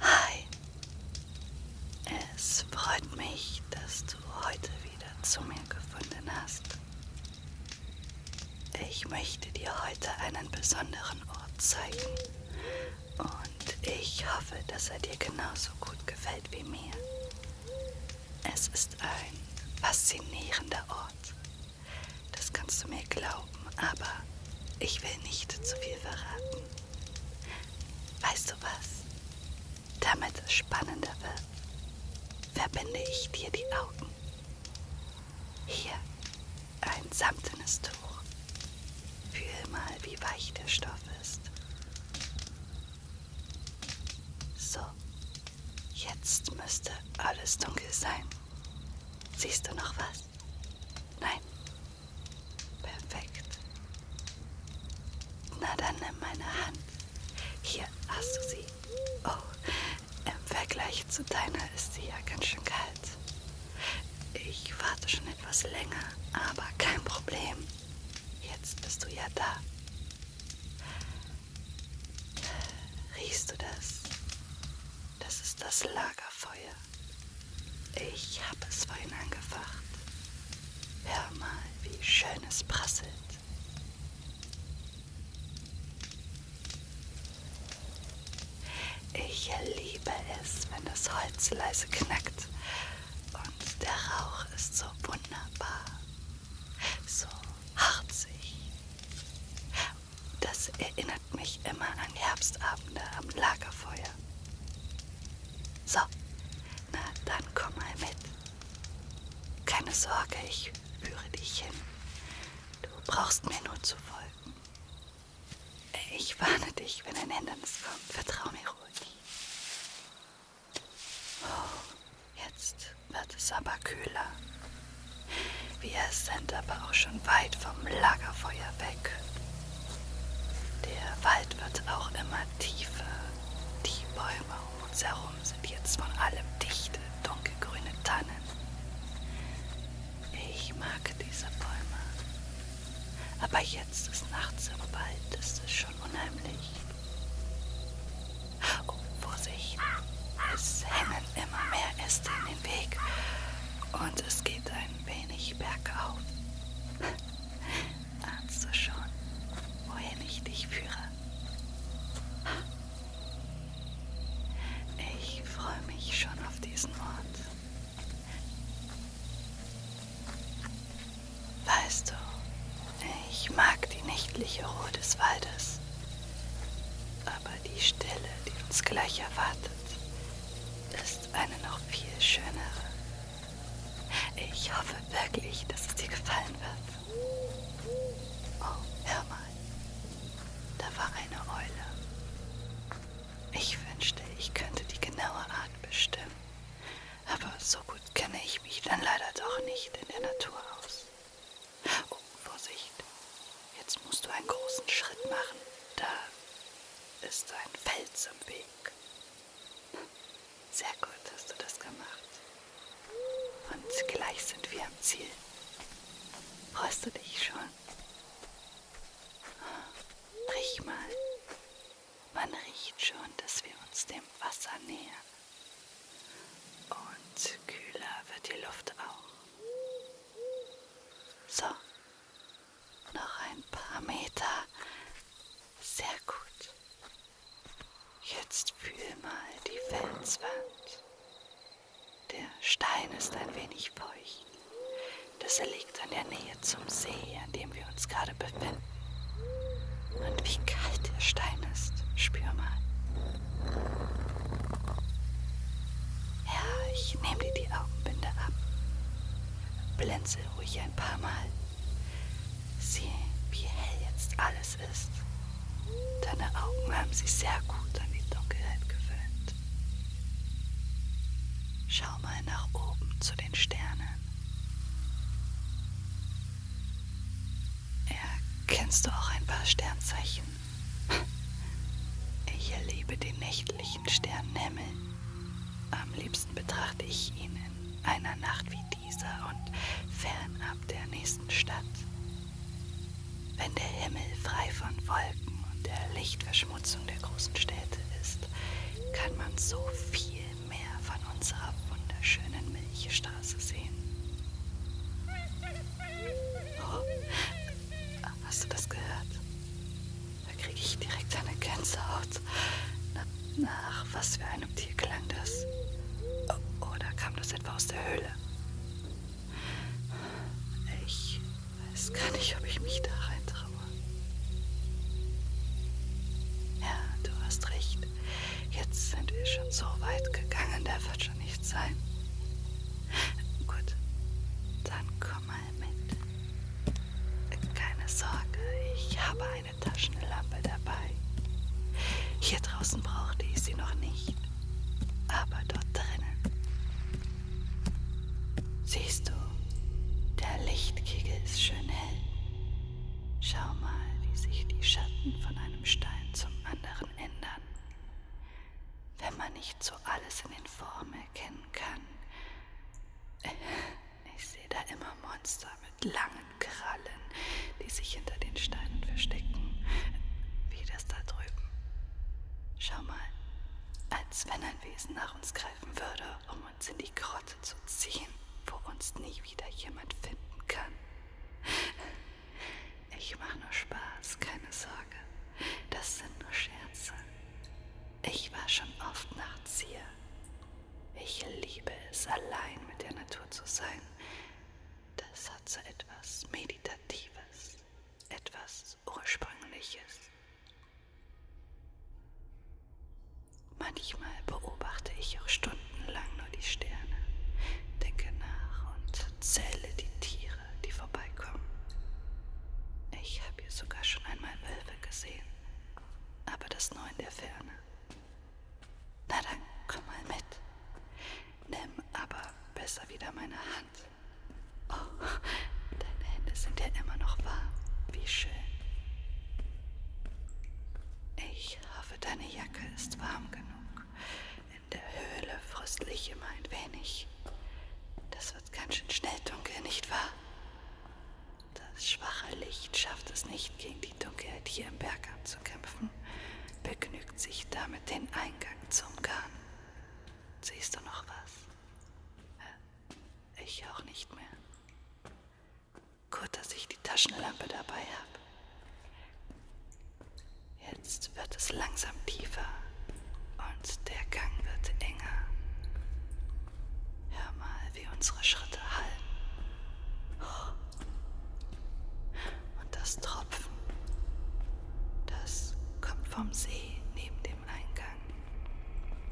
Hi, es freut mich, dass du heute wieder zu mir gefunden hast. Ich möchte dir heute einen besonderen Ort zeigen und ich hoffe, dass er dir genauso gut gefällt wie mir. Es ist ein faszinierender Ort. Das kannst du mir glauben aber ich will nicht zu viel verraten. Weißt du was? Damit es spannender wird, verbinde ich dir die Augen. Hier ein samtenes Tuch. Fühl mal, wie weich der Stoff ist. So, jetzt müsste alles dunkel sein. Siehst du noch was? Nein, Perfekt. Na dann nimm meine Hand. Hier hast du sie. Oh, im Vergleich zu deiner ist sie ja ganz schön kalt. Ich warte schon etwas länger, aber kein Problem. Jetzt bist du ja da. Riechst du das? Das ist das Lagerfeuer. Ich habe es vorhin angefacht. Hör mal, wie schön es prasselt. Ich liebe es, wenn das Holz leise knackt. Und der Rauch ist so wunderbar, so harzig. Das erinnert erinnert mich immer an Herbstabende am Lagerfeuer. So, na dann komm mal mit. Keine Sorge, ich führe dich hin. Du brauchst mir nur zu folgen. Ich warne dich, wenn ein Hindernis kommt. Vertrau mir ruhig. Oh, jetzt wird es aber kühler. Wir sind aber auch schon weit vom Lagerfeuer weg. Der Wald wird auch immer tiefer. Die Bäume um uns herum sind jetzt von allem dichte, dunkelgrüne Tannen. Ich mag diese Bäume. Aber jetzt ist nachts im Wald, ist es schon unheimlich. Oh, Vorsicht! Es hängen immer mehr Äste in den Weg und es geht ein wenig bergauf. Ahnst du schon, wohin ich dich führe? Ich freue mich schon auf diesen Ort. Weißt du, ich mag die nächtliche Ruhe des Waldes, aber die Stille, die uns gleich erwartet, ist ist eine noch viel schönere. Ich hoffe wirklich, dass es dir gefallen wird. Oh, hör mal. Da war eine Eule. Ich wünschte, ich könnte die genaue Art bestimmen. Aber so gut kenne ich mich dann leider doch nicht in der Natur aus. Oh, Vorsicht. Jetzt musst du einen großen Schritt machen. Da ist ein Fels im Weg. Sehr gut hast du das gemacht. Und gleich sind wir am Ziel. Freust du dich schon? Riech mal. Man riecht schon, dass wir uns dem Wasser nähern. Und kühler wird die Luft auch. So, noch ein paar Meter. Sehr gut. Jetzt fühl mal die Felswand. Der Stein ist ein wenig feucht. Das liegt an der Nähe zum See, an dem wir uns gerade befinden. Und wie kalt der Stein ist, spür mal. Ja, ich nehme dir die Augenbinde ab. Blinze ruhig ein paar Mal. Sieh, wie hell jetzt alles ist. Deine Augen haben sich sehr gut an die Dunkelheit gewöhnt. Schau mal nach oben zu den Sternen. Erkennst du auch ein paar Sternzeichen? Ich erlebe den nächtlichen Sternenhimmel. Am liebsten betrachte ich ihn in einer Nacht wie dieser und fernab der nächsten Stadt. Wenn der Himmel frei von Wolken und der Lichtverschmutzung der großen Städte ist, kann man so viel mehr von unserer wunderschönen Milchstraße sehen. Oh, hast du das gehört? Da kriege ich direkt eine Gänsehaut. Nach was für einem Tier klang das? Oder kam das etwa aus der Höhle? Ich weiß gar nicht, ob ich mich da reintraue. Ja, du hast recht. Jetzt sind wir schon so weit gegangen, da wird schon nichts sein. Gut, dann komm mal mit. Keine Sorge, ich habe eine Taschenlampe dabei. Hier draußen brauchte ich sie noch nicht, aber dort drinnen. Siehst du, der Lichtkegel ist schön hell. Schau mal, wie sich die Schatten von einem Stein zum anderen ändern. Wenn man nicht so alles in den Formen erkennen kann, ich sehe da immer Monster mit langen Krallen, die sich hinter den Steinen verstecken. Wie das da drüben. Schau mal, als wenn ein Wesen nach uns greifen würde, um uns in die Grotte zu ziehen, wo uns nie wieder jemand finden kann. Ich mache nur Spaß, keine Sorge. Das sind nur Scherze. Ich war schon oft nachts hier. Ich liebe es, allein mit der Natur zu sein. Das hat so etwas Meditatives, etwas Ursprüngliches. Manchmal beobachte ich auch stundenlang nur die Sterne, denke nach und zähle die Tiere, die vorbeikommen. Ich habe hier sogar schon einmal Wölfe gesehen, aber das nur in der Ferne. Na dann, komm mal mit. Nimm aber besser wieder meine Hand. Oh, deine Hände sind ja immer noch warm. Wie schön. Ich hoffe, deine Jacke ist warm genug. In der Höhle fröstle ich immer ein wenig. Das wird ganz schön schnell dunkel, nicht wahr? Das schwache Licht schafft es nicht, gegen die Dunkelheit hier im Berg anzukämpfen, begnügt sich damit, den Eingang zu umgarnen. Siehst du noch was? Ich auch nicht mehr. Gut, dass ich die Taschenlampe dabei habe. Jetzt wird es langsam tiefer und der Gang wird enger. Hör mal, wie unsere Schritte hallen. Und das Tropfen, das kommt vom See neben dem Eingang.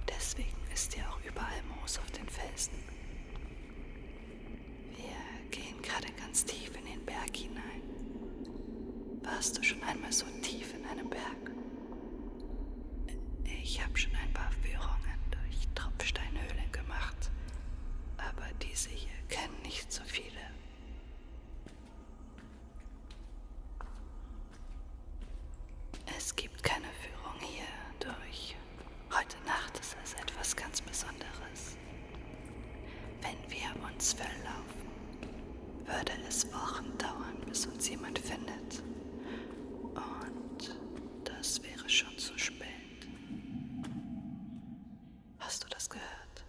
Deswegen ist hier auch überall Moos auf den Felsen. Wir gehen gerade ganz tief in den Berg hinein. Warst du schon einmal so tief in einem Berg? Ich habe schon ein paar Führungen durch Tropfsteinhöhlen gemacht, aber diese hier kennen nicht so viele. Es gibt keine Führung hier durch. Heute Nacht ist es etwas ganz Besonderes. Wenn wir uns verlaufen, würde es Wochen dauern, bis uns jemand findet. Und das wäre schon zu spät. Hast du das gehört?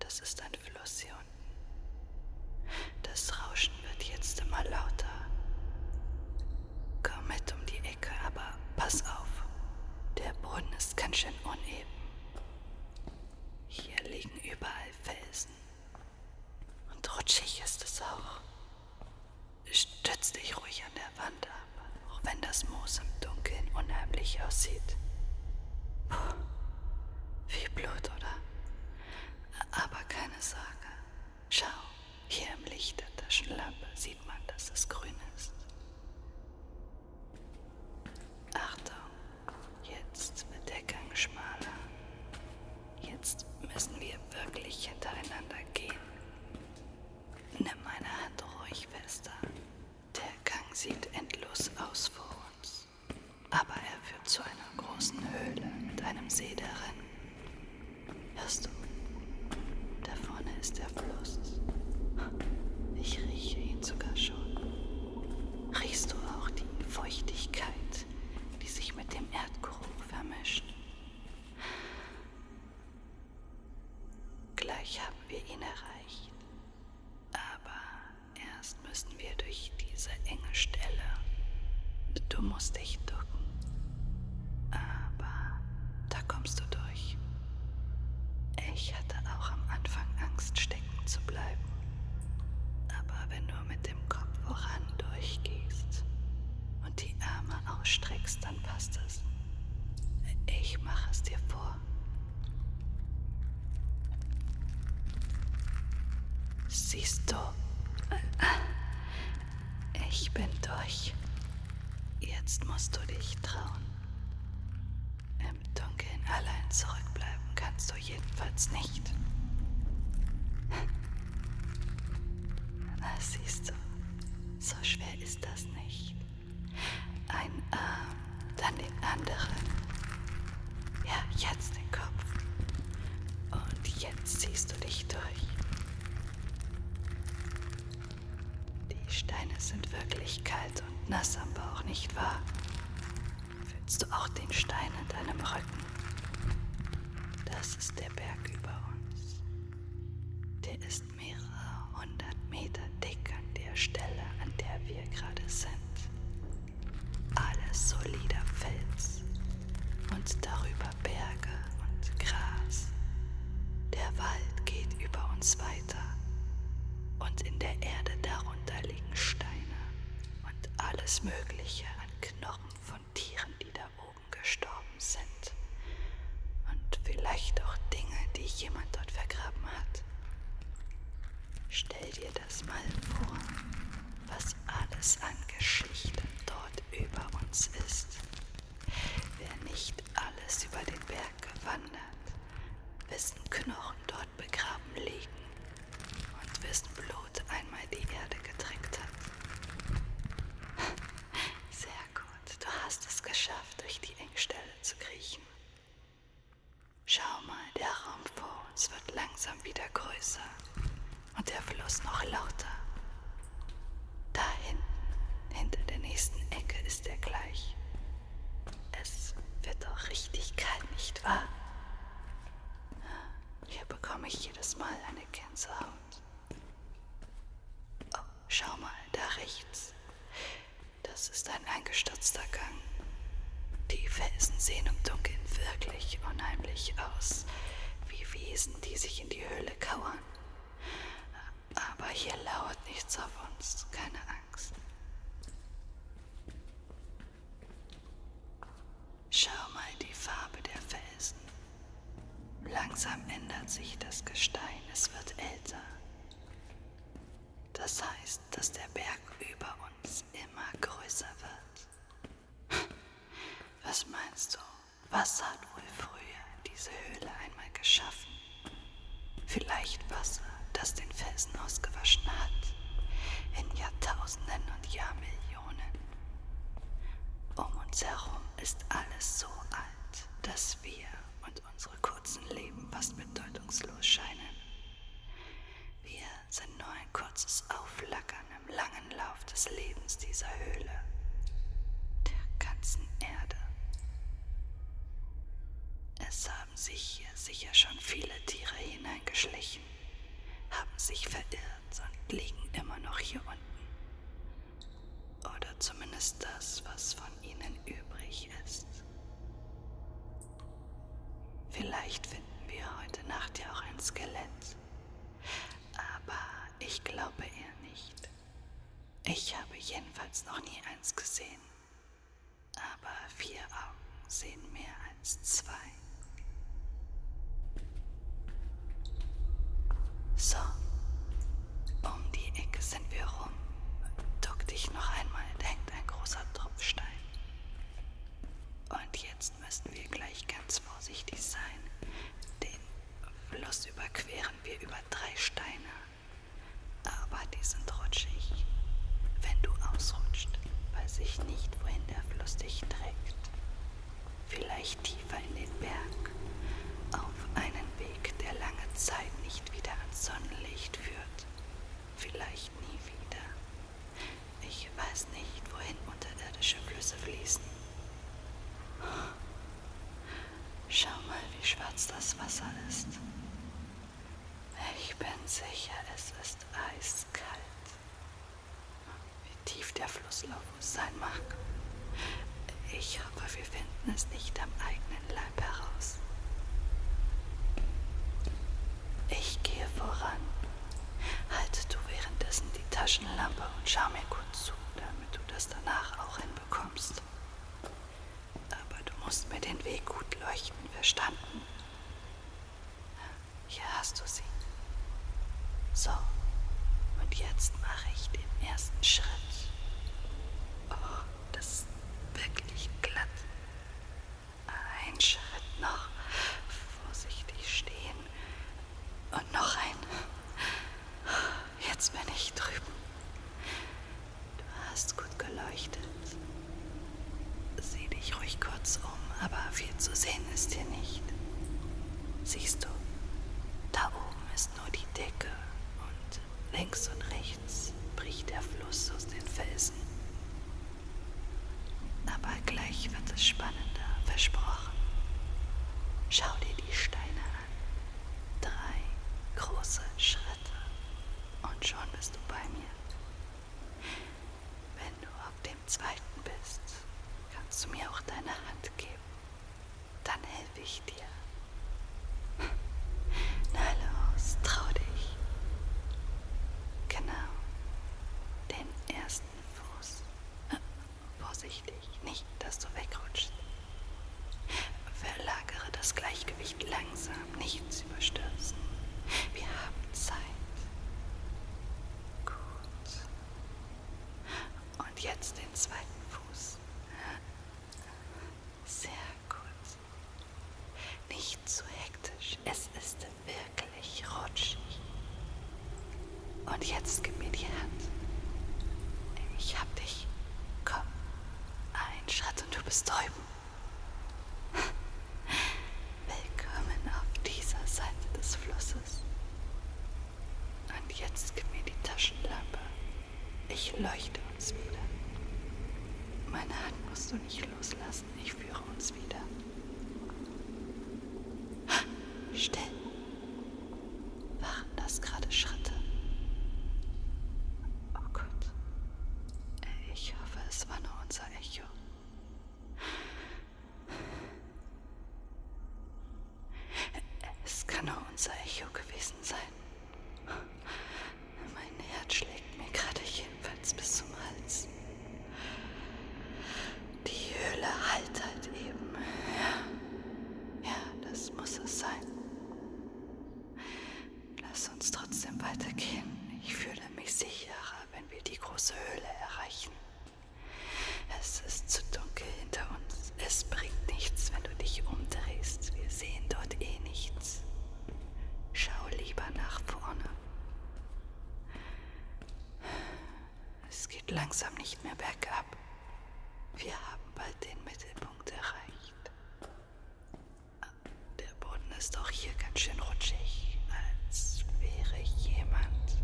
Das ist ein Fluss hier unten. Das Rauschen wird jetzt immer lauter. Komm mit um die Ecke, aber pass auf. Der Boden ist ganz schön uneben. Hier liegen überall Felsen. Und rutschig ist es auch. Stütz dich ruhig an der Wand ab, auch wenn das Moos im Dunkeln unheimlich aussieht. Puh, viel Blut, oder? Aber keine Sorge. Schau, hier im Licht der Taschenlampe sieht man, dass es grün ist. Achtung, jetzt wird der Gang schmaler. Jetzt müssen wir wirklich hintereinander gehen. Nimm meine Hand ruhig fester. Der Gang sieht endlos aus vor uns. Aber er führt zu einer großen Höhle mit einem See darin. Hörst du? Da vorne ist der Fluss. Ich rieche ihn sogar schon. Riechst du auch die Feuchtigkeit, die sich mit dem Erdgeruch vermischt? Gleich haben wir ihn erreicht. Aber erst müssen wir durch diese enge Stelle. Du musst dich ducken. Aber da kommst du durch. Ich hatte auch am Anfang Angst, stecken zu bleiben. Aber wenn du mit dem Kopf voran durchgehst und die Arme ausstreckst, dann passt es. Ich mache es dir vor. Siehst du, ich bin durch. Jetzt musst du dich trauen. Im Dunkeln allein zurückbleiben kannst du jedenfalls nicht. Na, ah, siehst du, so schwer ist das nicht. Ein Arm, ähm, dann den anderen. Ja, jetzt den Kopf. Und jetzt ziehst du dich durch. Die Steine sind wirklich kalt und nass am Bauch, nicht wahr? Fühlst du auch den Stein in deinem Rücken? Das ist der Berg über uns. Der ist mehrere hundert Meter dick an der Stelle, an der wir gerade sind. Alles solider Fels und darüber Berge und Gras. Der Wald geht über uns weiter und in der Erde darunter liegen Steine und alles Mögliche an Knochen von Tieren, die da oben gestorben sind. Und vielleicht auch Dinge, die jemand dort vergraben hat. Stell dir das mal vor, was alles an Geschichten dort über uns ist. Wer nicht alles über den Berg gewandert, wessen Knochen dort begraben liegen und wessen Blut Blut einmal die Erde getränkt hat. Sehr gut, du hast es geschafft, durch die Engstelle zu kriechen. Schau mal, der Raum vor uns wird langsam wieder größer und der Fluss noch lauter. Da hinten, hinter der nächsten Ecke ist er gleich. Es wird doch richtig kalt, nicht wahr? Hier bekomme ich jedes Mal eine Gänsehaut. Oh, schau mal, da rechts. Das ist ein eingestürzter Gang. Die Felsen sehen im Dunkeln wirklich unheimlich aus, wie Wesen, die sich in die Höhle kauern. Aber hier lauert nichts auf uns, keine Angst. Schau mal die Farbe der Felsen. Langsam ändert sich das Gestein, es wird älter. Das heißt, dass der Berg über uns immer größer wird. Was meinst du? Was hat wohl früher diese Höhle einmal geschaffen? Vielleicht Wasser, das den Felsen ausgewaschen hat. In Jahrtausenden und Jahrmillionen. Um uns herum ist alles so alt, dass wir und unsere kurzen Leben fast bedeutungslos scheinen. Wir sind nur ein kurzes Auflackern im langen Lauf des Lebens dieser Höhle, der ganzen Erde. Es haben sich hier sicher schon viele Tiere hineingeschlichen, haben sich verirrt und liegen immer noch hier unten. Oder zumindest das, was von ihnen übrig ist. Vielleicht finden wir heute Nacht ja auch ein Skelett. Aber ich glaube eher nicht. Ich habe jedenfalls noch nie eins gesehen. Aber vier Augen sehen mehr als zwei. So, um die Ecke sind wir rum. Duck dich noch einmal, da hängt ein großer Tropfstein. Und jetzt müssen wir gleich ganz vorsichtig sein. Den Fluss überqueren wir über drei Steine. Aber die sind rutschig. Wenn du ausrutscht, weiß ich nicht, wohin der Fluss dich trägt vielleicht tiefer in den Berg, auf einen Weg, der lange Zeit nicht wieder ans Sonnenlicht führt, vielleicht nie wieder. Ich weiß nicht, wohin unterirdische Flüsse fließen. Schau mal, wie schwarz das Wasser ist. Ich bin sicher, es ist eiskalt wie tief der Flusslauf sein mag. Ich hoffe, wir finden es nicht am eigenen Leib heraus. Ich gehe voran. Halte du währenddessen die Taschenlampe und schau mir gut zu, damit du das danach auch hinbekommst. Aber du musst mir den Weg gut leuchten, verstanden? Hier hast du sie. So, und jetzt mache ich den ersten Schritt. Oh, das ist wirklich glatt. Ein Schritt noch. Vorsichtig stehen. Und noch ein. Jetzt bin ich drüben. Du hast gut geleuchtet. Sieh dich ruhig kurz um, aber viel zu sehen ist hier nicht. Siehst du, da oben ist ist nur die Decke und links und rechts bricht der Fluss aus den Felsen. Aber gleich wird es spannender, versprochen. Schau dir die Steine an. Drei große Schritte und schon bist du bei mir. Wenn du auf dem zweiten bist, kannst du mir auch deine Hand geben dann helfe ich dir. Na los, trau dich. Genau, den ersten Fuß. Äh, vorsichtig, nicht, dass du wegrutschst. Verlagere das Gleichgewicht langsam, nichts überstürzen. Wir haben Zeit. Gut. Und jetzt den zweiten Fuß. Fuß. Sehr gut. Nicht zu hektisch, es ist wirklich rutschig. Und jetzt gib mir die Hand. Ich hab dich. Komm. Ein Schritt und du bist drüben. Willkommen auf dieser Seite des Flusses. Und jetzt gib mir die Taschenlampe. Ich leuchte uns wieder. Meine Hand musst du nicht loslassen. Ich führe uns wieder. Ha, still. Waren das gerade Schritte? Oh Gott. Ich hoffe, es war nur unser Echo. Es kann nur unser Echo gewesen sein. Mein Herz schlägt mir gerade jedenfalls bis zum Hals. Die Höhle halt halt eben. Ja, ja das muss es sein. Lass uns trotzdem weitergehen. Ich fühle mich sicherer, wenn wir die große Höhle erreichen. Es ist zu dunkel hinter uns. Es bringt nichts, wenn du dich umdrehst. Wir sehen dort eh nichts. Schau lieber nach vorne. Es geht langsam nicht mehr bergab. Wir haben bald den Mittelpunkt erreicht. Der Boden ist auch hier ganz schön rutschig, als wäre jemand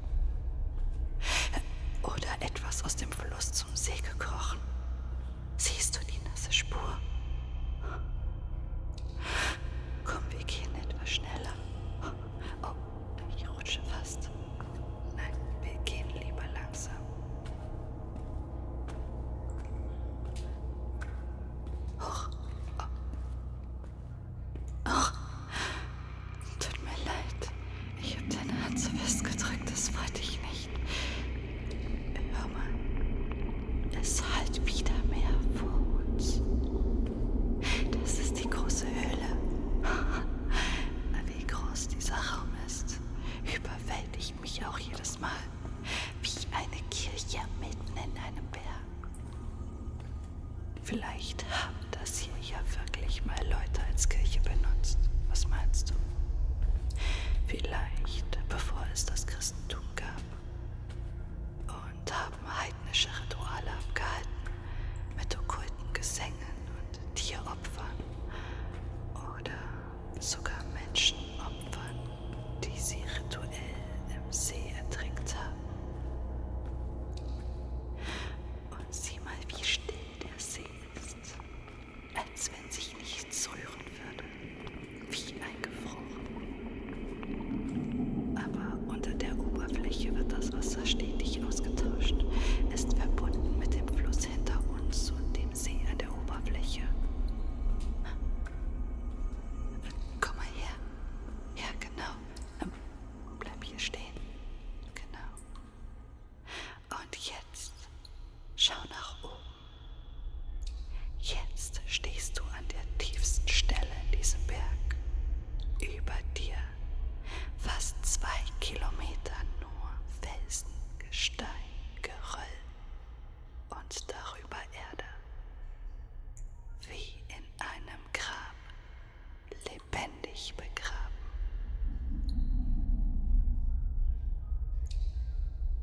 oder etwas aus dem Fluss zum See gekrochen. Siehst du die nasse Spur? Komm, wir gehen etwas schneller. Oh, ich rutsche fast. Nein, wir gehen lieber langsam. Hoch. Oh. Oh. Tut mir leid. Ich hab deine Hand so festgedrückt, das wollte ich nicht. Hör mal. Es halt wieder mehr vor uns. Das ist die große Höhle. Wie groß dieser Raum ist, überwältigt mich auch jedes Mal. Wie eine Kirche mitten in einem Berg. Vielleicht haben das hier ja wirklich mal Leute als Kirche benutzt. Was meinst du? Vielleicht bevor es das Christentum gab. Und haben heidnische Rituale abgehalten mit okkulten Gesängen und Tieropfern. Oder sogar Menschenopfern, die sie rituell im See ertrinkt haben. Und sieh mal, wie still der See ist als wenn sich nichts rühren würde, wie eingefroren. Aber unter der Oberfläche wird das Wasser stetig ausgetauscht, ist verbunden mit dem Fluss hinter uns und dem See an der Oberfläche. Komm mal her. Ja, genau. Ähm, bleib hier stehen. Genau. Und jetzt schau nach oben. Jetzt stehst du an der tiefsten Stelle in diesem Berg. Über dir fast zwei Kilometer nur Felsen, Gestein, Geröll und darüber Erde. Wie in einem Grab, lebendig dich begraben.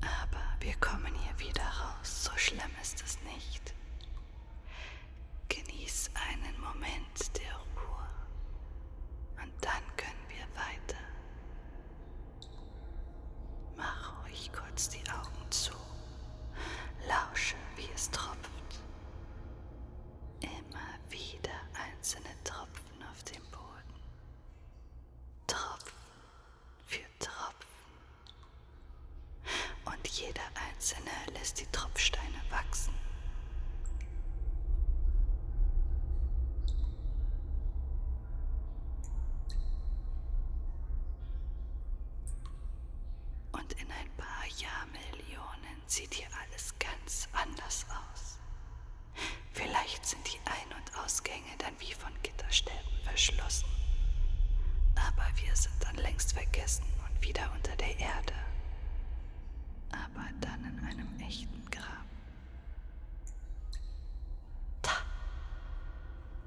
Aber wir kommen hier wieder raus, so schlimm ist es nicht. Genieß einen Moment der Ruhe und dann können wir weiter. Mach ruhig kurz die Augen zu, lausche, wie es tropft. Immer wieder einzelne Tropfen auf dem Boden. Tropfen für Tropfen. Und jeder einzelne lässt die Tropfsteine wachsen. Und in ein paar Jahrmillionen sieht hier alles ganz anders aus. Vielleicht sind die Ein- und Ausgänge dann wie von Gitterstäben verschlossen. Aber wir sind dann längst vergessen und wieder unter der Erde. Aber dann in einem echten Grab. Da,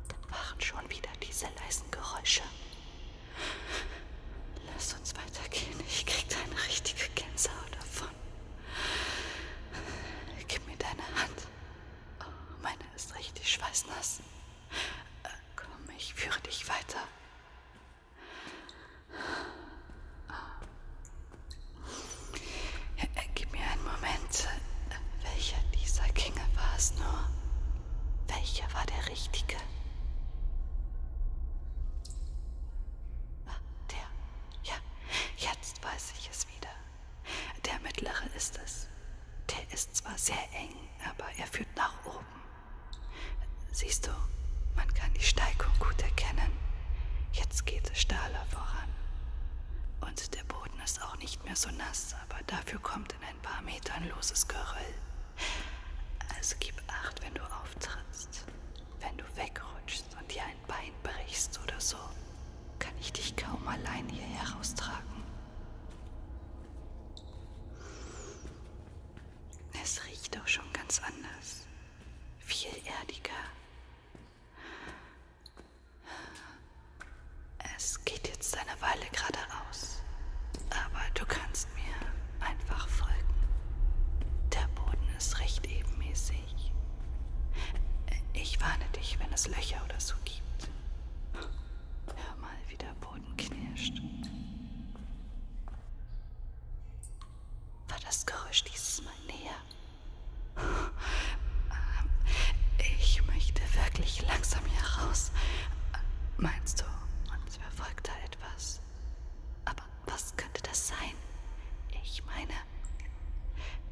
da waren schon wieder diese leisen Geräusche. Lass uns weitergehen, ich krieg da eine richtige Gänsehaut davon. Gib mir deine Hand. Oh, meine ist richtig schweißnass. Äh, komm, ich führe dich weiter. Äh, gib mir einen Moment. Welcher dieser Kinge war es nur? Welcher war der richtige? Ah, der. Ja, jetzt. Jetzt weiß ich es wieder. Der mittlere ist es. Der ist zwar sehr eng, aber er führt nach oben. Siehst du, man kann die Steigung gut erkennen. Jetzt geht es stahler voran. Und der Boden ist auch nicht mehr so nass, aber dafür kommt in ein paar Metern loses Geröll. Also gib acht, wenn du auftrittst. Wenn du wegrutschst und dir ein Bein brichst oder so, kann ich dich kaum allein hier heraustragen. Es riecht auch schon ganz anders, viel erdiger. Es geht jetzt eine Weile geradeaus, aber du kannst mir einfach folgen. Der Boden ist recht ebenmäßig sich. Ich warne dich, wenn es Löcher oder so gibt. Hör mal, wie der Boden knirscht. War das Geräusch dieses Mal näher? Ich möchte wirklich langsam hier raus. Meinst du, uns verfolgt da etwas? Aber was könnte das sein? Ich meine,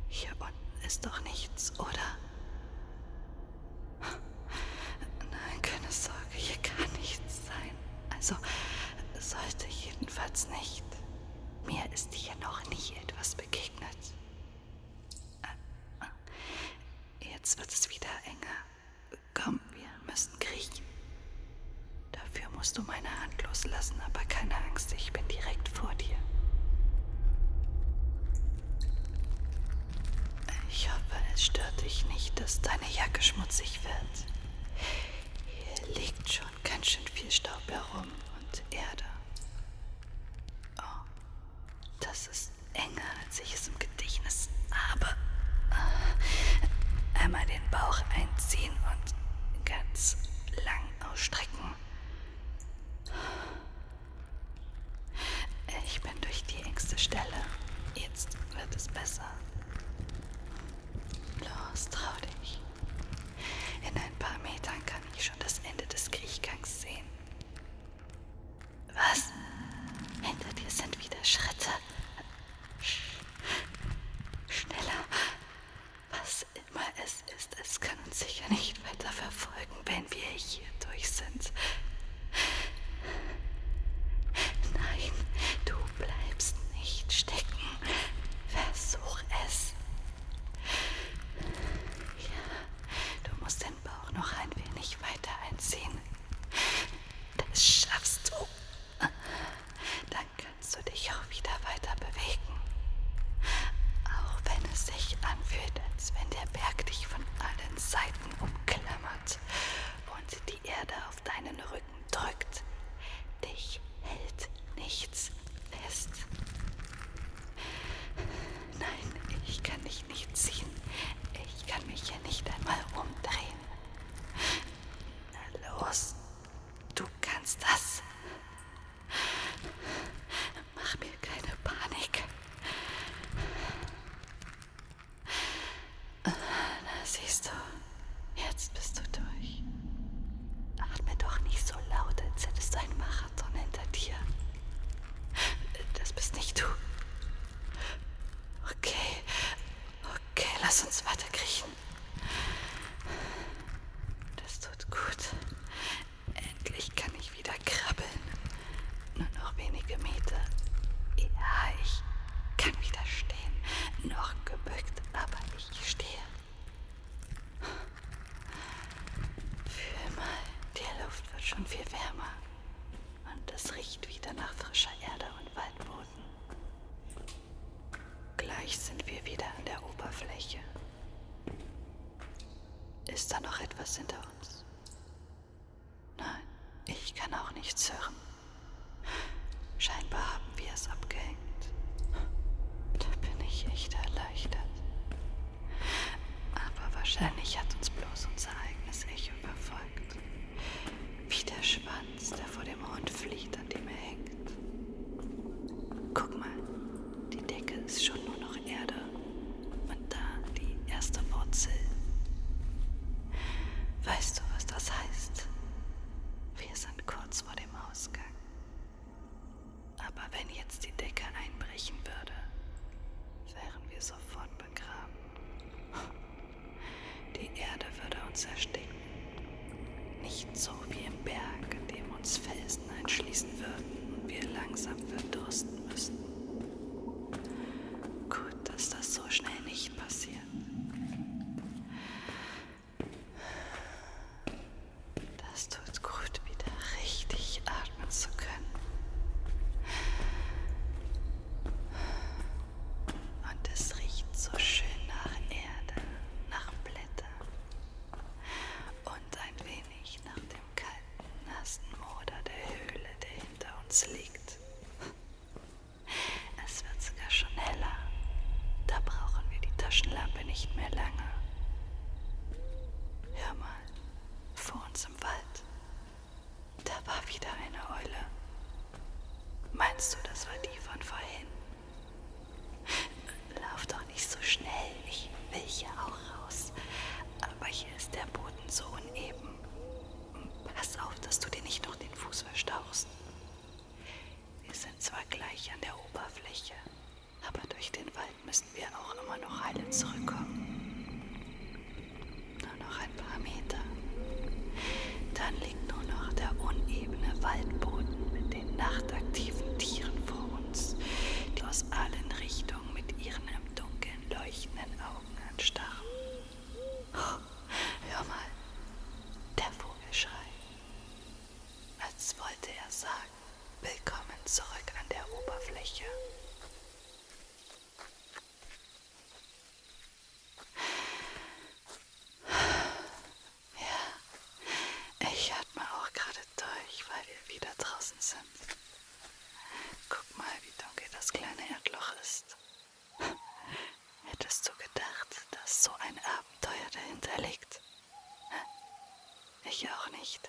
hier unten ist doch nichts, oder? Nein, keine Sorge, hier kann nichts sein. Also sollte jedenfalls nicht. Mir ist hier noch nie etwas begegnet. Äh, jetzt wird es wieder enger. Komm, wir müssen kriechen. Dafür musst du meine Hand loslassen, aber keine Angst, ich bin direkt vor dir. Ich hoffe, es stört dich nicht, dass deine Jacke schmutzig wird. Hier liegt schon ganz schön viel Staub herum und Erde. Oh, das ist enger, als ich es im Gedächtnis habe. Einmal den Bauch einziehen und ganz lang ausstrecken. Ich bin durch die engste Stelle. Jetzt wird es besser. Los, trau dich. In ein paar Metern kann ich schon das Ende des Kriechgangs sehen. Was? Hinter dir sind wieder Schritte. Sch schneller. Was was immer es ist, es kann uns sicher nicht weiter verfolgen, wenn wir hier durch sind. Nein, du bleibst nicht stecken. Versuch es. Ja, du musst den Bauch noch ein wenig weiter einziehen. Das schaffst du. Danke kannst du dich auch wieder weiter bewegen. Auch wenn es sich anfühlt, als wenn der Berg dich von allen Seiten umklammert und die Erde auf deinen Rücken drückt. Dich hält nichts fest. Nein, ich kann dich nicht ziehen. Ich kann mich hier nicht einmal umdrehen. Na los, du kannst das. Mach mir keine Panik. Na, siehst du, jetzt bist du durch. Atme doch nicht so laut, als hättest du einen Marathon hinter dir. Das bist nicht du. Okay, okay, lass uns weiterkriechen. Das tut gut. Endlich kann ich wieder krabbeln. Nur noch wenige Meter. Ja, ich kann wieder stehen. Noch gebückt, aber ich stehe. Fühl mal, die Luft wird schon viel wärmer. Und es riecht wieder nach frischer Erde und Waldboden. Gleich sind wir wieder an der Oberfläche. Ist da noch etwas hinter uns? Nein, ich kann auch nichts hören. Scheinbar haben wir es abgehängt. Da bin ich echt erleichtert. Aber wahrscheinlich hat uns bloß unser eigenes Echo verfolgt. Wie der Schwanz, der vor dem Hund flieht, an dem er hängt. Guck mal, die Decke ist schon nur noch Erde und da die erste Wurzel. Weißt du, was das heißt? Wir sind kurz vor dem Ausgang. Aber wenn jetzt die Decke einbrechen würde, wären wir sofort begraben. Die Erde würde uns ersticken nicht so wie im Berg, in dem uns Felsen einschließen würden und wir langsam verdursten müssten. Gut, dass das so schnell nicht passiert. Das tut gut, wieder richtig atmen zu können. Und es riecht so schön nach Erde, nach Blättern und ein wenig nach dem kalten, nassen Moder der Höhle, der hinter uns liegt. Es wird sogar schon heller. Da brauchen wir die Taschenlampe nicht mehr lange. Hör mal, vor uns im Wald. Da war wieder eine Eule. Meinst du, das war die von vorhin? Lauf doch nicht so schnell. Ich will hier auch raus. Aber hier ist der Boden so uneben. Pass auf, dass du dir nicht noch den Fuß verstauchst. Wir sind zwar gleich an der Oberfläche, aber durch den Wald müssen wir auch immer noch heile zurückkommen. Nur noch ein paar Meter. Dann liegt nur noch der unebene Waldboden mit den nachtaktiven Tieren vor uns, die aus allen Richtungen mit ihren im Dunkeln leuchtenden Augen anstarren. Oh, hör mal, der Vogelschrei. Als wollte er sagen, willkommen zurück an der Oberfläche. Ja, ich atme auch gerade durch, weil wir wieder draußen sind. Guck mal, wie dunkel das kleine Erdloch ist. Hättest du gedacht, dass so ein Abenteuer dahinter liegt? Ich auch nicht,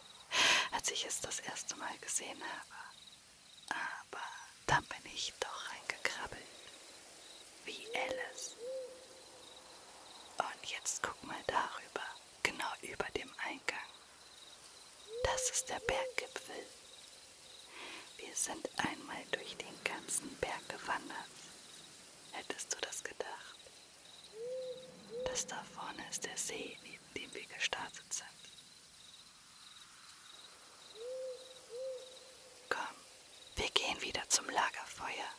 als ich es das erste Mal gesehen habe. Aber dann bin ich doch reingekrabbelt. Wie Alice. Und jetzt guck mal darüber genau über dem Eingang. Das ist der Berggipfel. Wir sind einmal durch den ganzen Berg gewandert. Hättest du das gedacht? Das da vorne ist der See, neben dem wir gestartet sind. Komm, wir gehen wieder zum Lagerfeuer.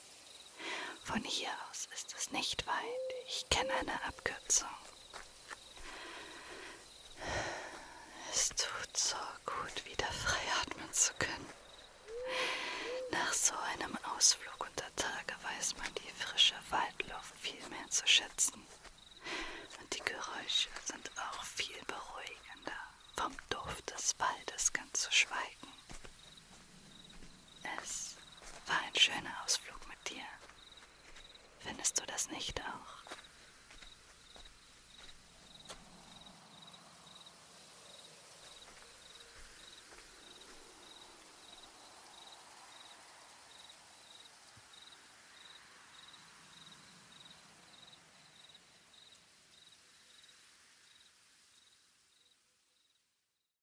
Von hier aus ist es nicht weit. Ich kenne eine Abkürzung. Es tut so gut, wieder frei atmen zu können. Nach so einem Ausflug unter Tage weiß man die frische Waldluft viel mehr zu schätzen. Und die Geräusche sind auch viel beruhigender, vom Duft des Waldes ganz zu schweigen. Es war ein schöner Ausflug mit dir. Findest du das nicht auch?